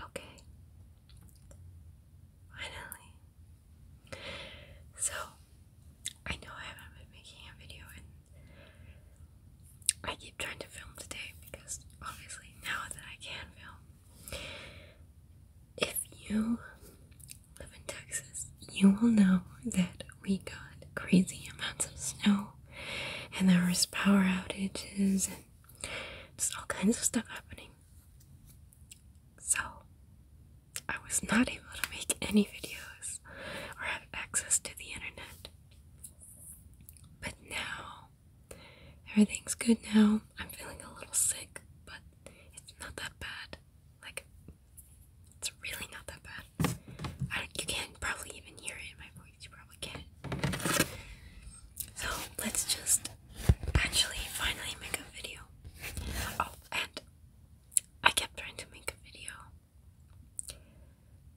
Okay. Finally. So, I know I haven't been making a video and I keep trying to film today because obviously now that I can film. If you live in Texas, you will know that we got crazy amounts of snow and there was power outages just all kinds of stuff happening. So, I was not able to make any videos or have access to the internet. But now, everything's good now. I'm feeling a little sick, but it's not that bad. Like, it's really not that bad. I don't, you can't probably even hear it in my voice you probably can't. So let's just actually finally make a video. Oh, and I kept trying to make a video.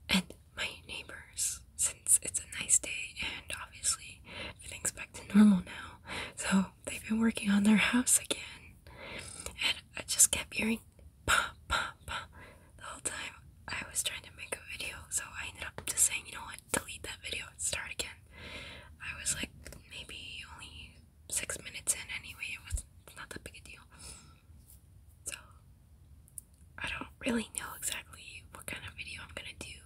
And my neighbors, since it's a nice day and obviously everything's back to normal now, so they've been working on their house again. And I just kept hearing pop, pop, pop the whole time I was trying to make a video, so I ended up just saying, you know what, delete that video and start again. I was like maybe only six minutes in anyway, it was not that big a deal. So I don't really know exactly what kind of video I'm gonna do.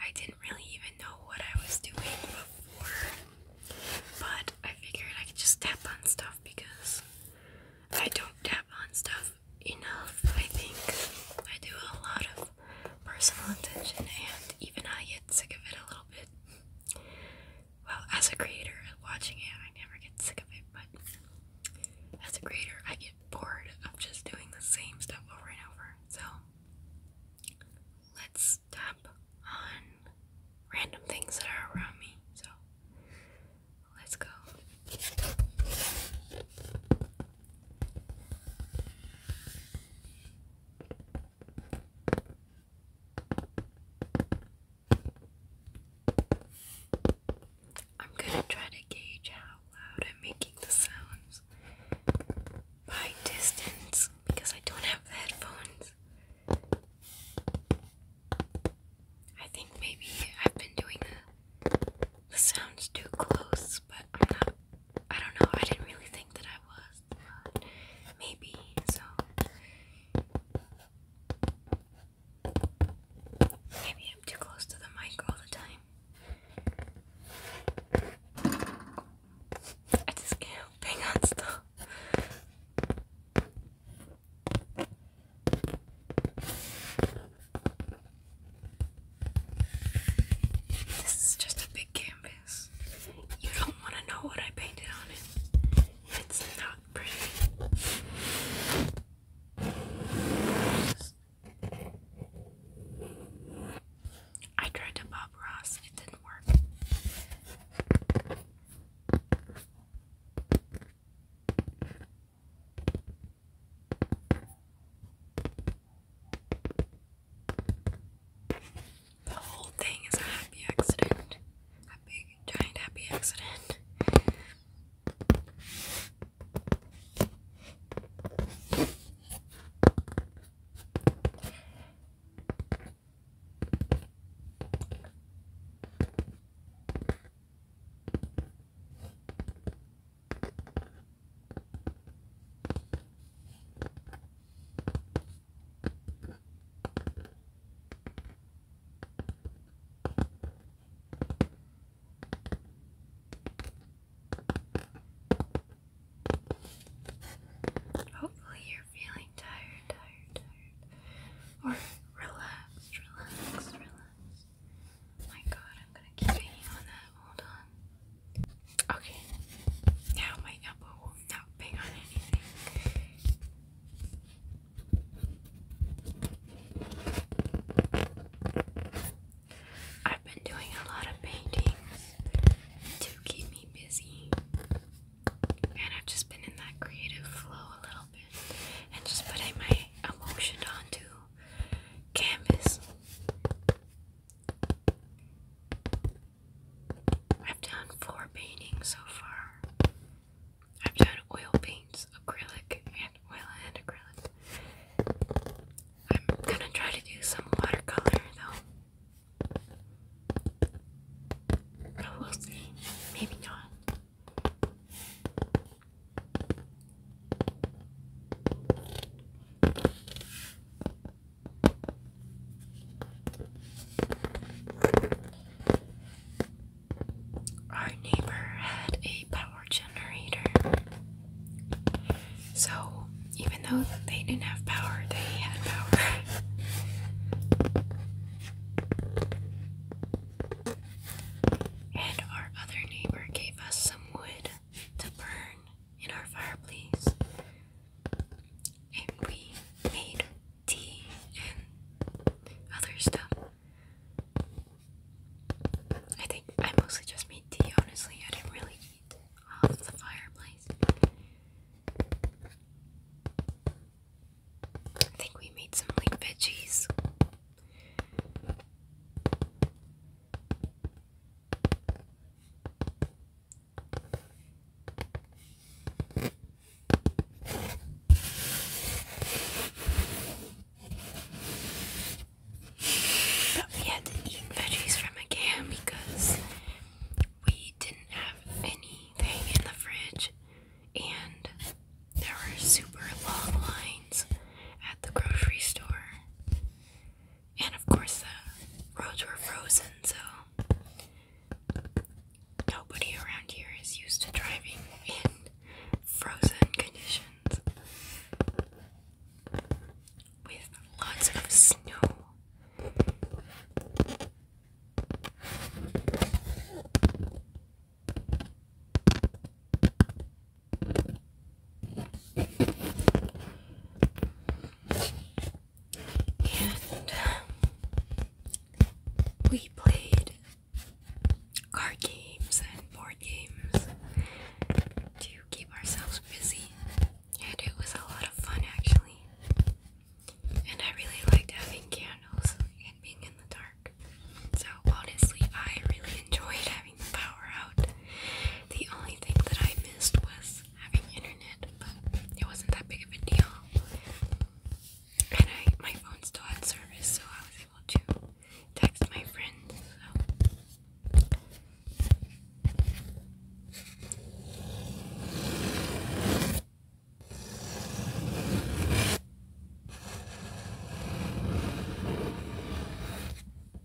I didn't really even know what I was doing before, but I figured I could just tap on stuff because I don't tap on stuff enough, I think. I do a lot of personal attention, and even I get sick of it a little bit. Well, as a creator, watching it, I never get sick of it, but as a creator, I get bored of just doing the same stuff over and over. So, let's tap on random things that are around me. So, let's go. I'm going to try to gauge how loud I'm making the sounds by distance because I don't have headphones. I think maybe I've been doing a the sounds too close, but I'm not. I don't know. I didn't really think that I was, but maybe so. Maybe I'm too close to the mic all the time. I just can't hang this is just a big canvas. You don't want to know what I painted on it. It's not pretty. I tried to Bob Ross, it didn't work. The whole thing is a happy accident. A big, giant happy accident. Hopefully, you're feeling tired, tired, tired, or relaxed, relaxed, relaxed. Oh my god, I'm gonna keep hanging on that. Hold on. Okay. Now my elbow will not bang on anything. I've been doing a lot of paintings to keep me busy. And I've just been in that creative flow a little bit and just putting my emotion onto canvas. I've done four paintings so far. I've done oil paints, acrylic, and oil and acrylic. I'm gonna try to do some watercolor though. we'll see. Maybe not. Our neighbor had a power generator. So, even though they didn't have power, they had power. and our other neighbor gave us some wood to burn in our fireplace. And we made tea and other stuff. I think I mostly just made tea, honestly. I didn't really eat off the fireplace. I think we made some like veggies. But we had to eat veggies from a can because we didn't have anything in the fridge and there were super long lines at the grocery store. And of course, the roads were frozen, so nobody around here is used to driving in frozen conditions with lots of snow. And um, we played card games and board games to keep ourselves busy, and it was a lot of fun actually. And I really liked having candles and being in the dark. So honestly, I really enjoyed it the power out. The only thing that I missed was having internet, but it wasn't that big of a deal. And I my phone still had service, so I was able to text my friends.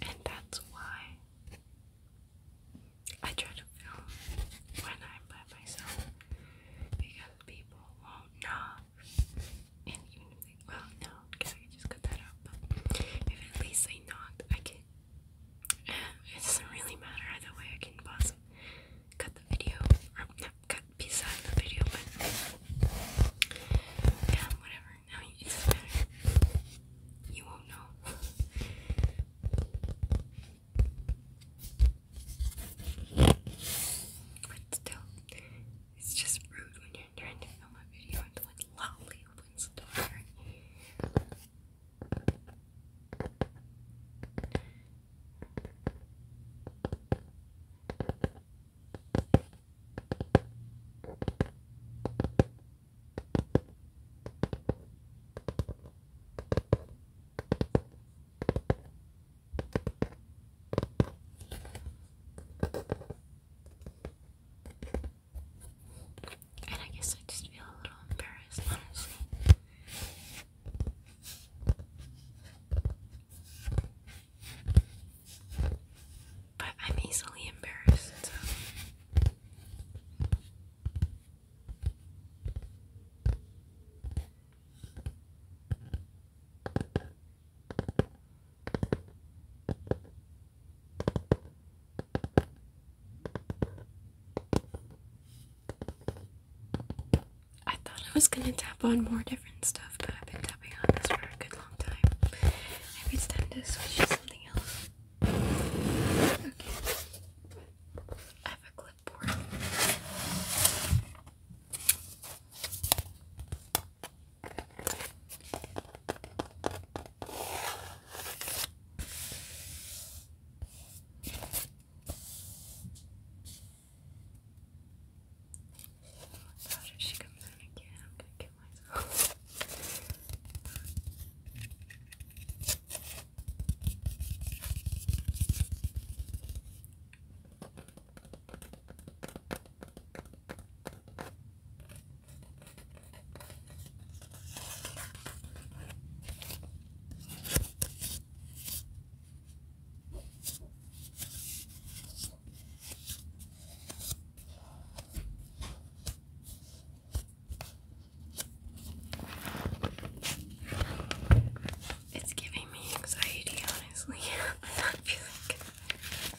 And that's why I try to film when I'm by myself because people won't know well, no, okay, I just cut that out. But if at least they knocked, I can. Uh, it doesn't really matter either way. I can pause, cut the video, or not cut piece the video, but yeah, whatever. No, it doesn't You won't know. But still, it's just rude when I'm trying to film a video and like loudly opens the and I guess I just feel a little embarrassed, honestly. But I'm easily embarrassed, I thought I was gonna tap on more different stuff, but I've been tapping on this for a good long time. Maybe it's time to switch to something else. Okay. I have a clipboard. How did she come in again? I'm gonna kill myself. It's giving me anxiety, honestly. I'm not feeling good.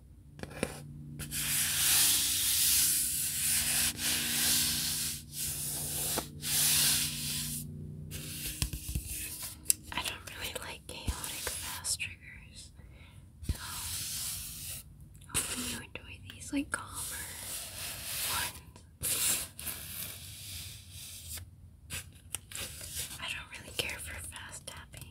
I don't really like chaotic fast triggers, so hopefully you enjoy these like calmer ones. I don't really care for fast tapping.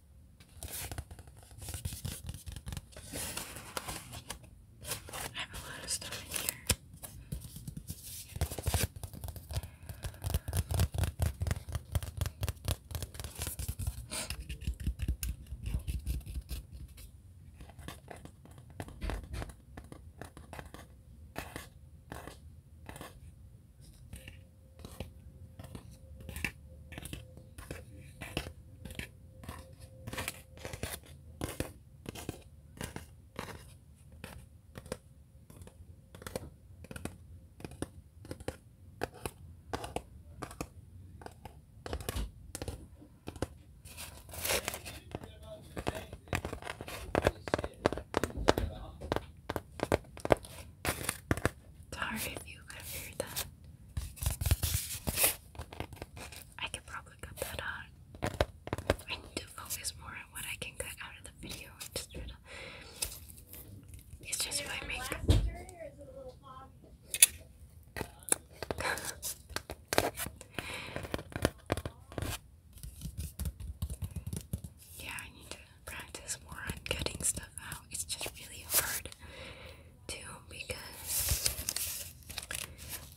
I have a lot of stuff in here. Sorry you could have that. I could probably cut that out. I need to focus more on what I can cut out of the video. It's just my makeup. yeah, I need to practice more on cutting stuff out. It's just really hard too because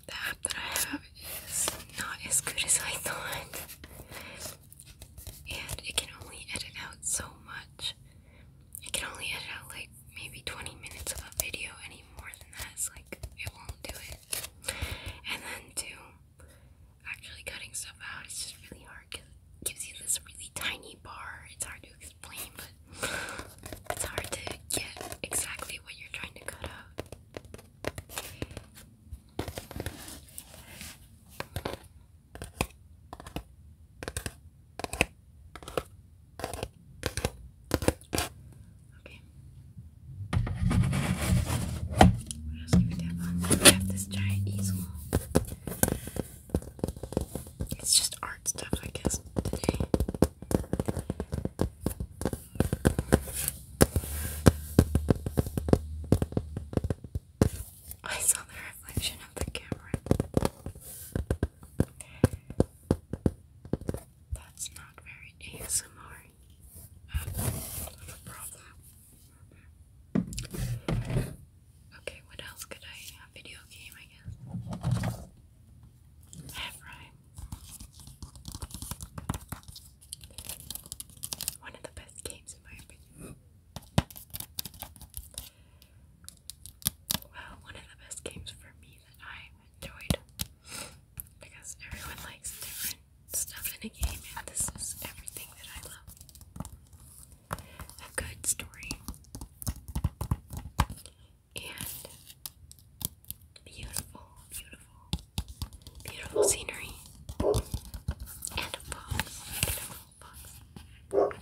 the app that I have is not as good as I thought. And it can only edit out so much. It can only edit out like maybe 20 minutes of a video, any more than that is like it won't do it. And then too, actually cutting stuff out is just really hard because it gives you this really tiny bar. It's hard to it's hard to get exactly what you're trying to cut out. Okay. What else do we have We have this giant easel. It's just art stuff, I guess, today. I saw the reflection of the camera. That's not very ASMR Okay, what else could I video game, I guess. Half right. One of the best games, in my opinion. Well, one of the best games for me that I enjoyed because everyone likes different stuff in a game, and this is everything that I love. A good story, and beautiful, beautiful, beautiful scenery and books, beautiful books.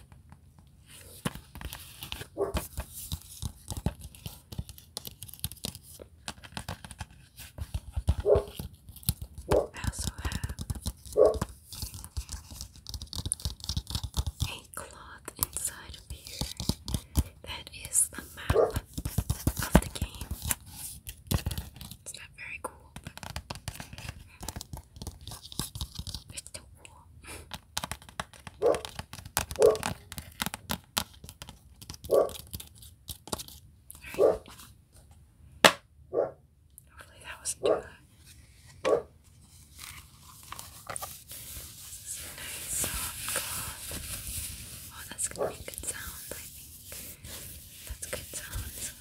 I also have a clock inside of here. That is the map of the game. It's not very cool, but it's still cool. Alright. Hopefully that wasn't too loud. This is a nice soft cloth. Oh, that's gonna be good sounds, I think. That's good sounds.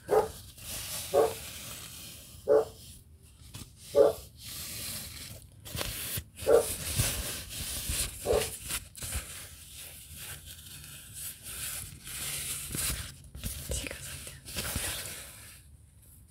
See, it goes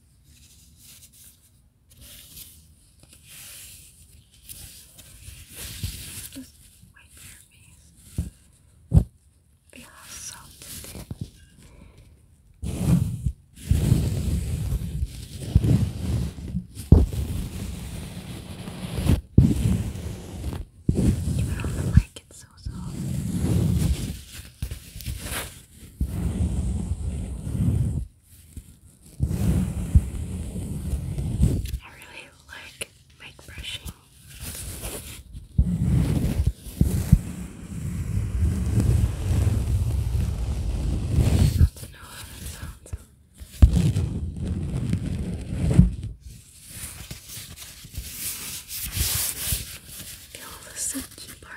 Just wipe your face. Feel how soft it is. Even on the mic, so soft. I really like mic brushing. I do know how that sounds. Feel the silky part.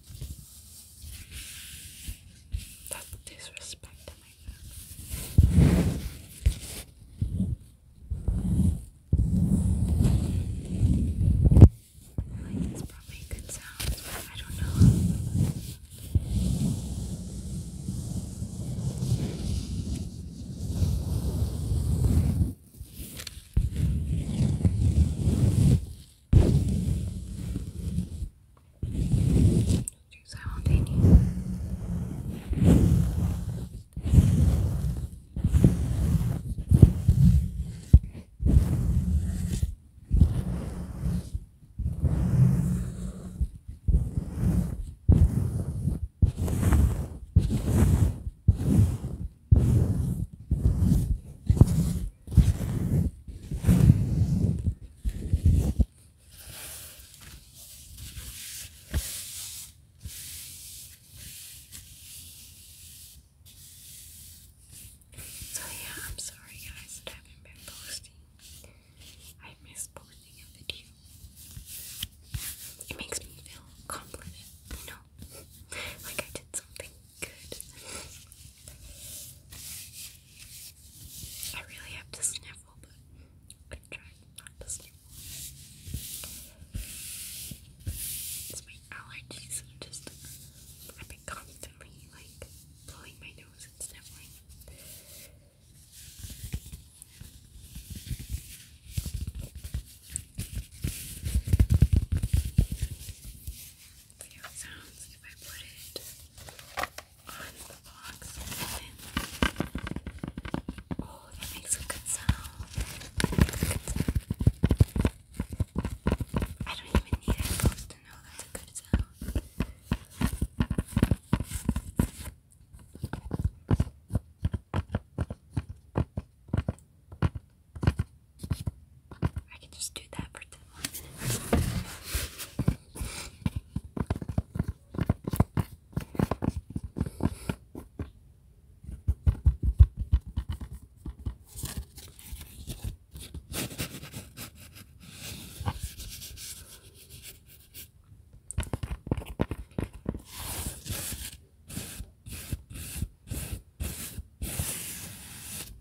That's disrespect to my family. Like it's probably good sounds, I don't know. Two simultaneous. Good. So yeah, I'm sorry guys that I haven't been posting. I miss posting a video. It makes me feel confident, you know? like I did something good. I really have to sniffle, but I'm gonna try not to sniffle. It's my allergies, I'm just, I've been constantly like blowing my nose and sniffling see how it sounds if I put it on the box Oh, that makes a good sound. I don't even need headphones to know that's a good sound. I can just do that for 10 minutes.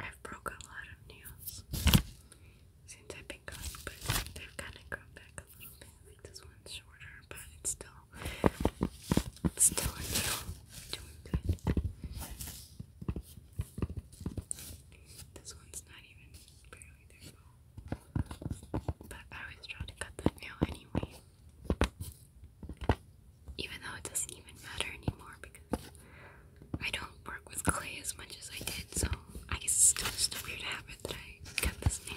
I've broke a lot of nails since I've been gone, but they've kind of grown back a little bit. Like this one's shorter, but it's still, it's still a nail. Doing good. This one's not even barely there But I always try to cut that nail anyway. Even though it doesn't even matter anymore because I don't work with clay as much as I did, so I guess it's still just a weird habit that I got this nail.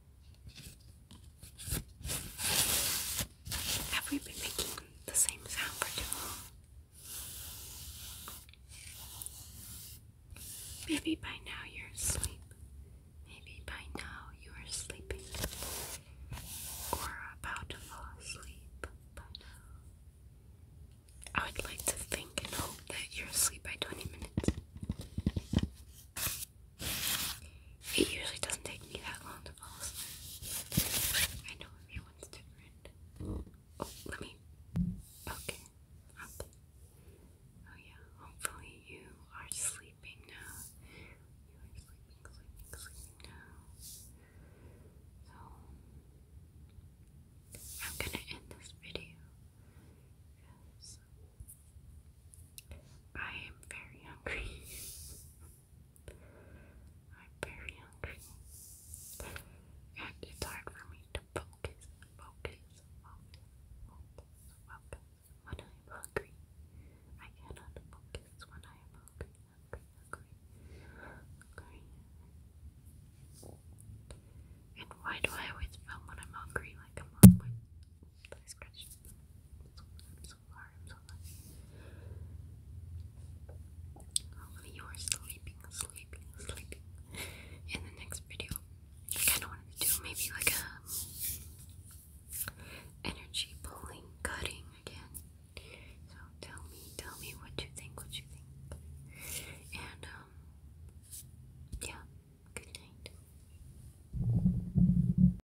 Have we been making the same sound for too long? Maybe by now you're asleep. Maybe by now you are sleeping or about to fall asleep by now. I would like to think and hope that you're asleep by 20 minutes. It usually doesn't take me that long to fall asleep. I know everyone's different. Oh, let me. Okay. Up. Oh, yeah. Hopefully, you are sleeping now. You are sleeping, sleeping, sleeping now. So, I'm gonna end this video because I am very hungry. I'm very hungry. And it's hard for me to focus, focus, focus, focus, focus when I'm hungry. I cannot focus when I am hungry, hungry, hungry, hungry. And why do I always film when I'm hungry like I'm always I scratched it. I'm so sorry, I'm so sorry. you are sleeping, sleeping, sleeping. In the next video, I kinda wanted to do maybe like a um, energy pulling, cutting again. So tell me, tell me what you think, what you think. And um yeah, good night.